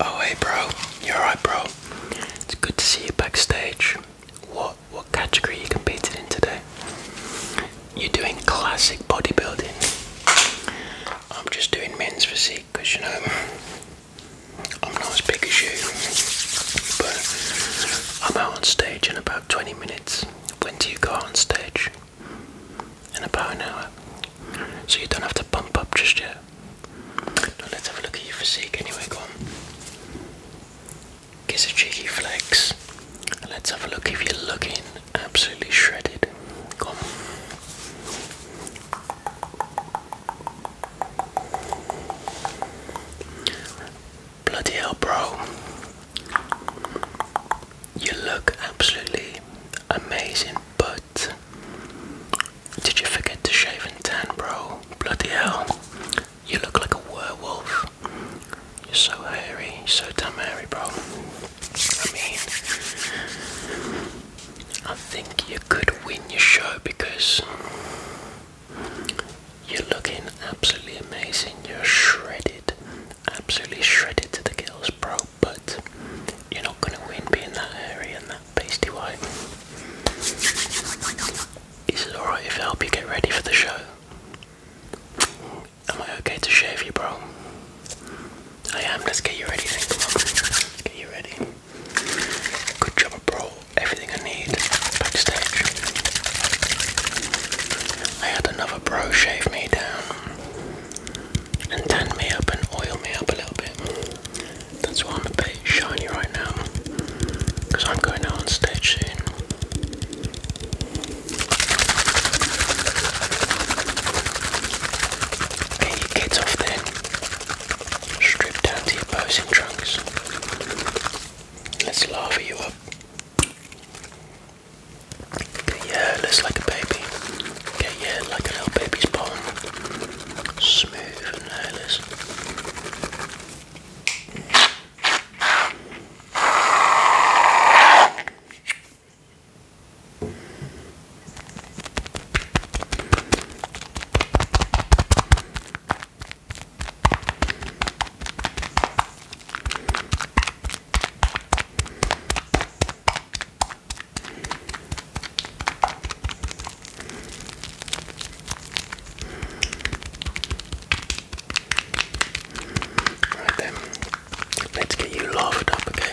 Oh hey bro, you're right bro. It's good to see you backstage. What what category you competed in today? You're doing classic bodybuilding. I'm just doing men's physique because you know I'm not as big as you. But I'm out on stage in about 20 minutes. When do you go on stage? in about an hour. So you don't have to pump up just yet. let's have a look at your physique anyway, go Kiss a cheeky flex. Let's have a look if you're looking absolutely shredded. Go Bloody hell, bro. You look absolutely amazing, but did you forget to shave and tan, bro? Bloody hell. You look like a werewolf. You're so hairy, You're so damn hairy, bro. I mean, I think you could win your show because you're looking absolutely amazing. You're shredded, absolutely shredded to the gills, bro but you're not going to win being that hairy and that pasty white. Is alright if I help you get ready for the show? Am I okay to shave you, bro? I am. Let's get you ready Let's get you ready. Good job, bro. Everything I need backstage. I had another bro shave me down and tan me up and oil me up a little bit. That's why I'm a bit shiny right now, because I'm going out on stage soon. Get off then. Strip down to your posing trunks. Let's lava you up. Get your like a baby. Get like a little baby's bone. Smooth and hairless. Right then, let's get you laughed up again.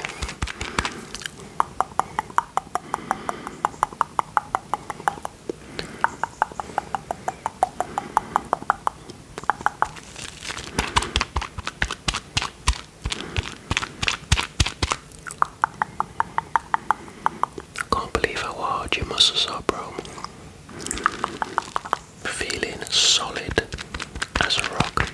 Can't believe how hard your muscles are, bro. Feeling solid as a rock.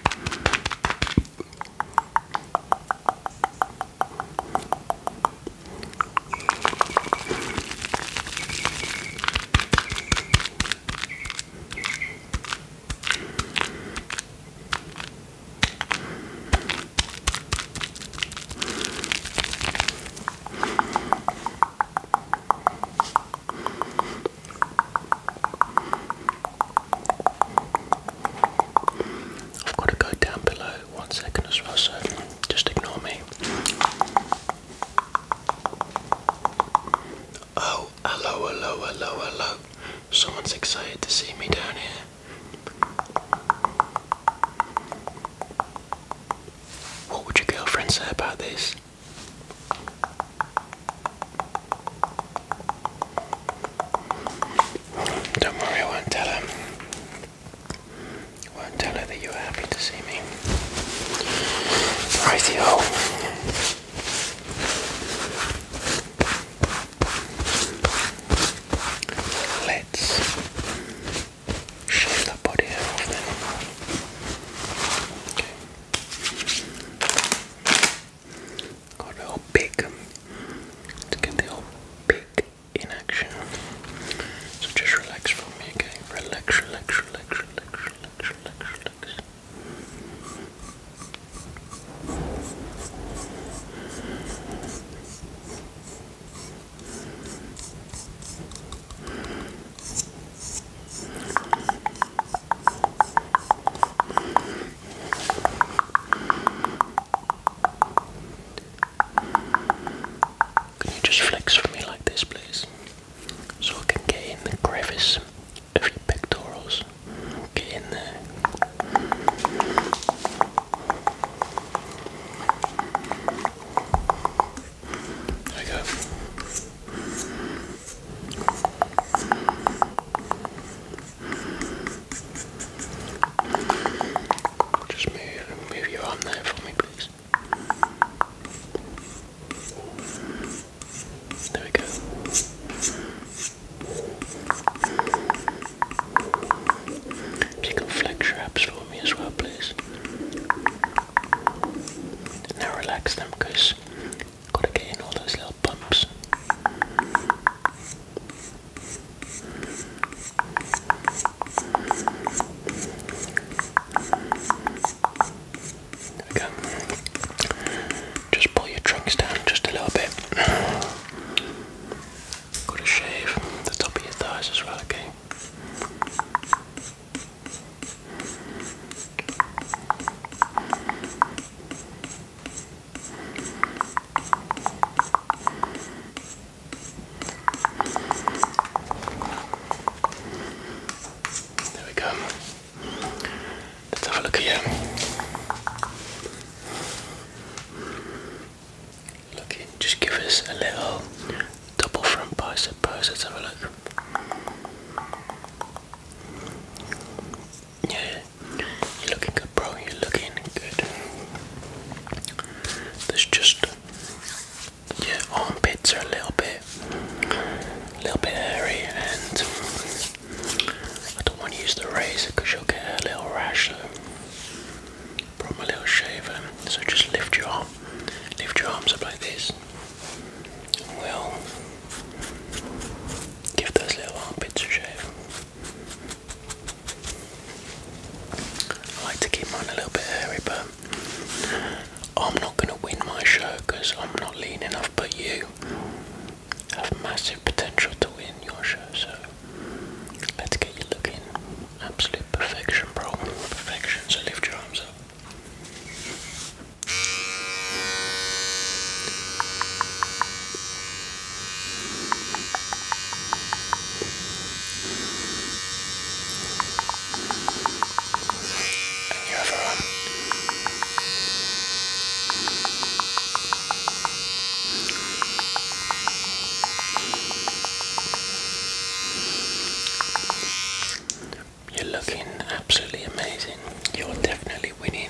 I've got to go down below one second as well, so just ignore me. Oh, hello, hello, hello, hello. Someone's excited to see me down here. What would your girlfriend say about this? Don't worry, I won't tell her. won't tell her that you were happy to see me. Righty-ho. Let's shave the body hair off the animal. Got the whole pig. let get the whole pig in action. So just relax for me, okay? relax, relax, relax, relax. Can you just flex for me like this, please? so I can get in the crevice of your pectorals. Get in there. There we go. Just move, move your arm there for me, please. There we go. you can flex your abs for me as well, please. Now relax them got to get in all those little bumps. Just pull your trunks down just a little bit. Gotta shave the top of your thighs as well, okay? There we go. Let's have a look here. Look, just give us a little double front bicep pose. Let's have a look. Yeah, you're looking good, bro. You're looking good. There's just your armpits are a little bit, a little bit hairy, and I don't want to use the razor because you'll get a little rash. So from a little shaver, so just lift your arm, lift your arms up like this. we'll give those little armpits a shave. I like to keep mine a little bit hairy, but I'm not going to win my show because I'm not lean enough, but you have massive potential to win your show, so let's get you looking absolute perfection, bro. Perfection, so lift your arms up and You're looking absolutely amazing. You're definitely winning.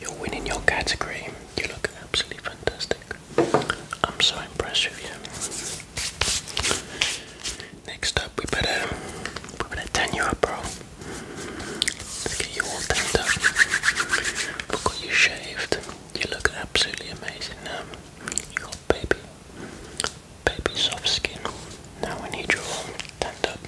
You're winning your category. You look absolutely fantastic. I'm so impressed with you. Next up, we better we better tan you up, bro. Let's get you all tanned up. We've got you shaved. You look absolutely amazing now. You got baby, baby soft skin. Now we need you all tanned up.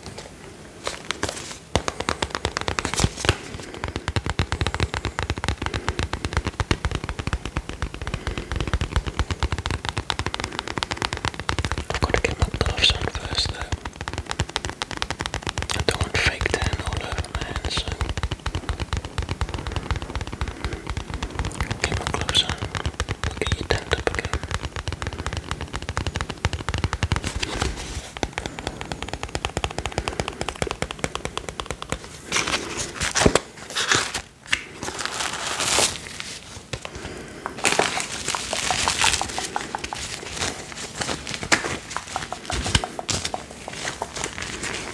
I've got to get my gloves on first though. I don't fake tan hands, get my gloves on. I'll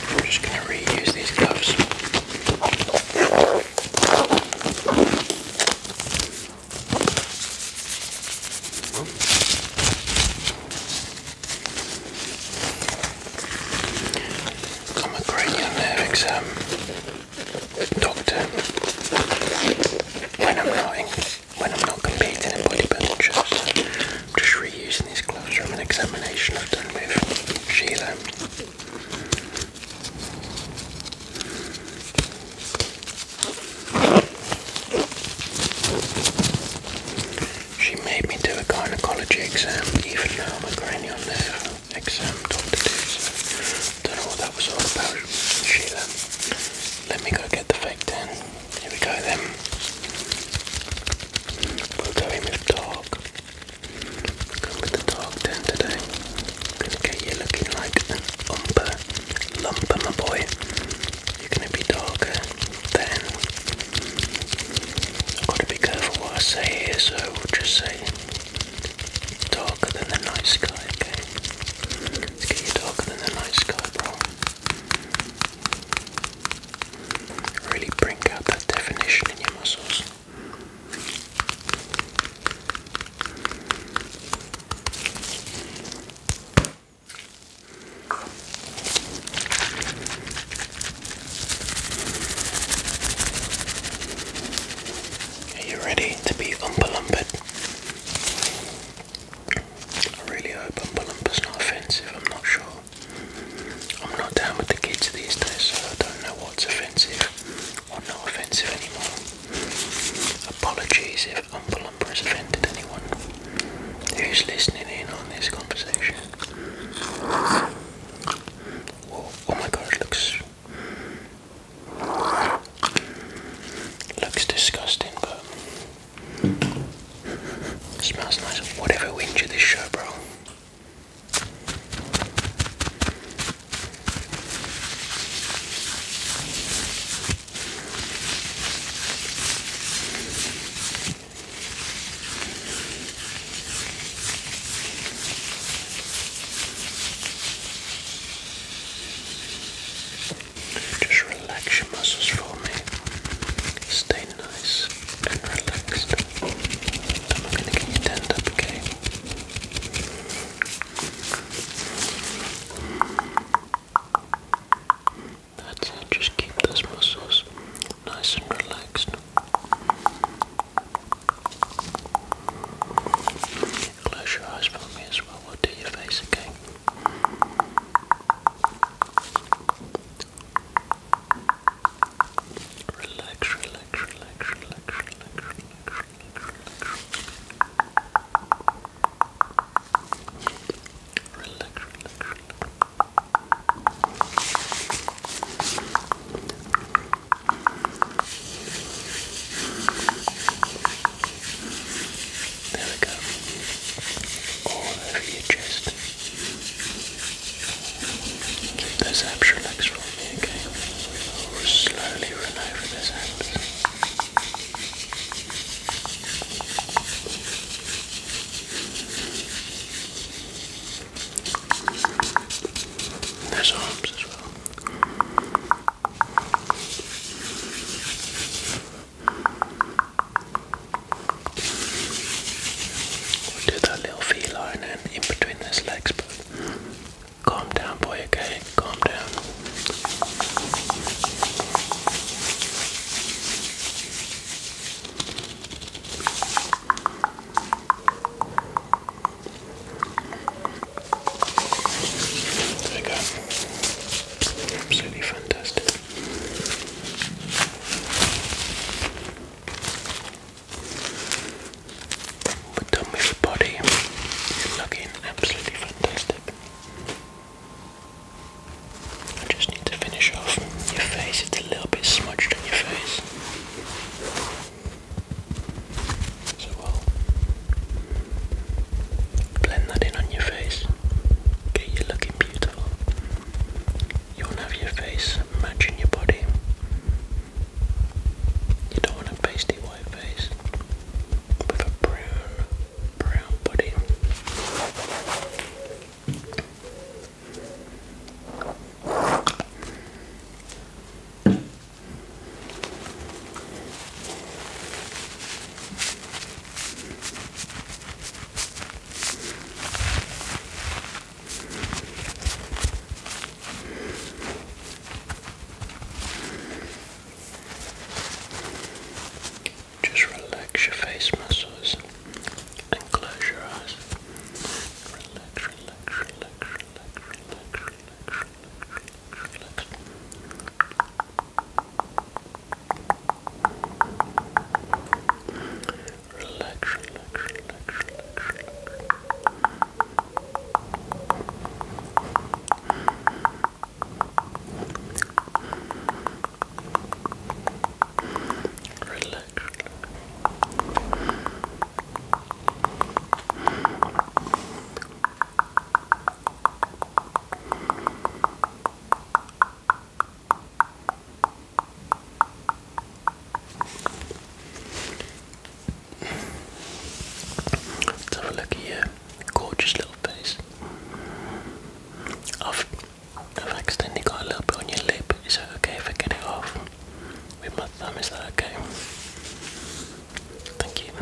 I'm just going to reuse these gloves. i a great young exam doctor when I'm not when I'm not competing in bodybuilding shows. I'm just reusing these gloves from an examination I've done with Sheila. She made me do a gynecology exam even though I'm a cranial nerve exam doctor too, so don't know what that was all about. Sheila, let me go get the fake then. Here we go then. We'll go in with the dog. Go with the dog then today. Gonna get you looking like an umber my boy. You're gonna be darker then. I've got to be careful what I say here, so we'll just say Darker than the night sky, okay? darker than the night sky, Really bring out that definition in your muscles. Are you ready to be umbalumbered? I really hope umbalumber's not offensive, I'm not sure. I'm not down with the kids these days, so I don't know what's offensive or not offensive anymore. Apologies if umbalumber has offended anyone who's listening in on this conversation. oh my god, looks Looks disgusting, but smells nice. Whatever wins you this show, bro. Just relax your muscles for me. Stay nice and relaxed. I'm gonna get you turned okay? That's it, just keep those muscles nice and relaxed. Close your eyes for me as well. We'll do your face again. Relax, relax, relax, relax, relax, relax, relax, relax. Relax, there we go. All over your chest. Keep those abs relaxed for me, okay? We'll slowly run over those abs. There's arms as well. do that little feline and in between his legs, but calm down, boy, okay? Calm down. There you Absolutely fantastic. We're done body. looking absolutely fantastic. I just need to finish off your face. It's a little bit smudged on your face. So we'll blend that in on your face, get you looking beautiful. You'll have your face matching your body. You don't want a pasty white face with a brown, brown body. Just relax your face muscles and close your eyes. Relax, relax, relax, relax, relax, relax, relax, relax. Relax, Let's have a look at your gorgeous little face. I've, I've accidentally got a little bit on your lip. Is it okay if I get it off? with my thumb. Is that okay? Thank you.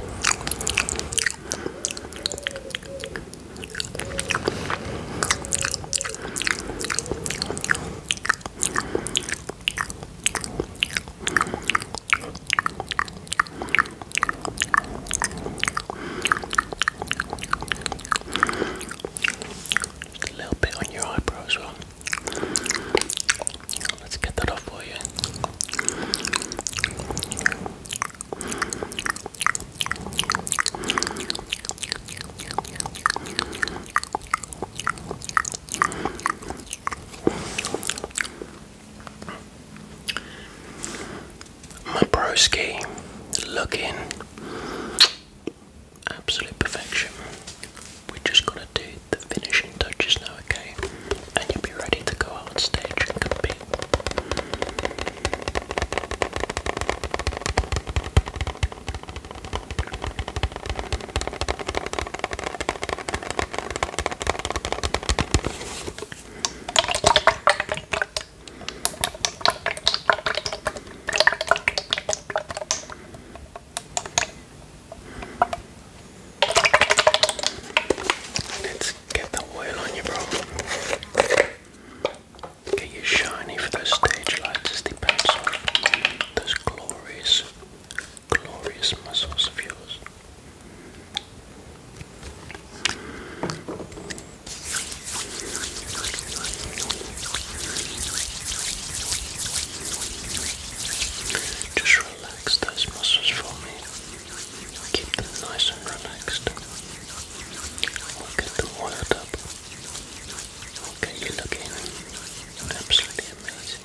Just a little bit on your eyebrow as Let's get that off for you. My broski looking absolute perfection. We just gotta do the finishing touches now, okay? And you'll be ready to go out on stage and compete. Let's get the oil on you, bro. Get you shiny for those stage lights those glorious, glorious muscles of yours. Just relax those muscles for me. Keep them nice and relaxed. We'll get them oiled Okay, you're looking absolutely amazing.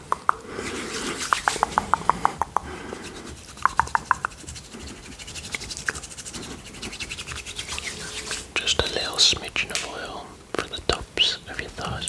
Just a little smidgen of oil for the tops of your thighs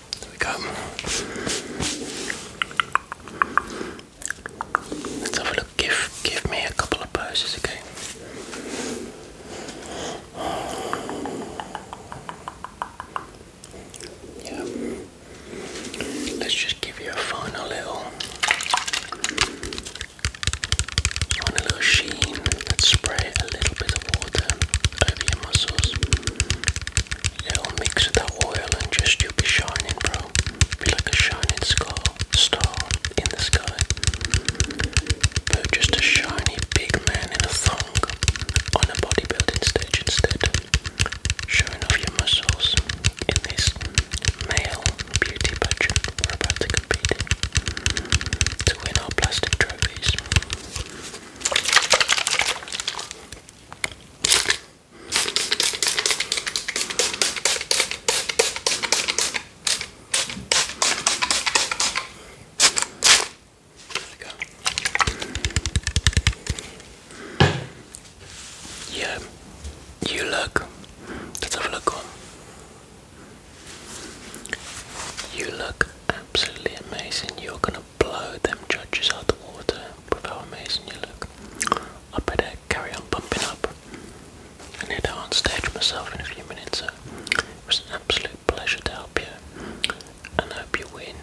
There we go. Let's have a look. Give, give me a couple of poses again. Yeah. Let's just give you a final little, final little sheen. Let's spray a little bit of water over your muscles. Little mix of that oil and just you'll be shining, bro. Be like a shining star, star in the sky. But just a shiny big man in a thong on a bodybuilding stage instead. Showing off your muscles in this male beauty pageant we're about to compete to win our plastic trophies. Yeah, you look. let a look on. You look absolutely amazing. You're going blow them judges out the water with how amazing you look. I better carry on pumping up and head out on stage myself in a few minutes. So it was an absolute pleasure to help you and I hope you win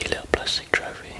your little plastic trophy.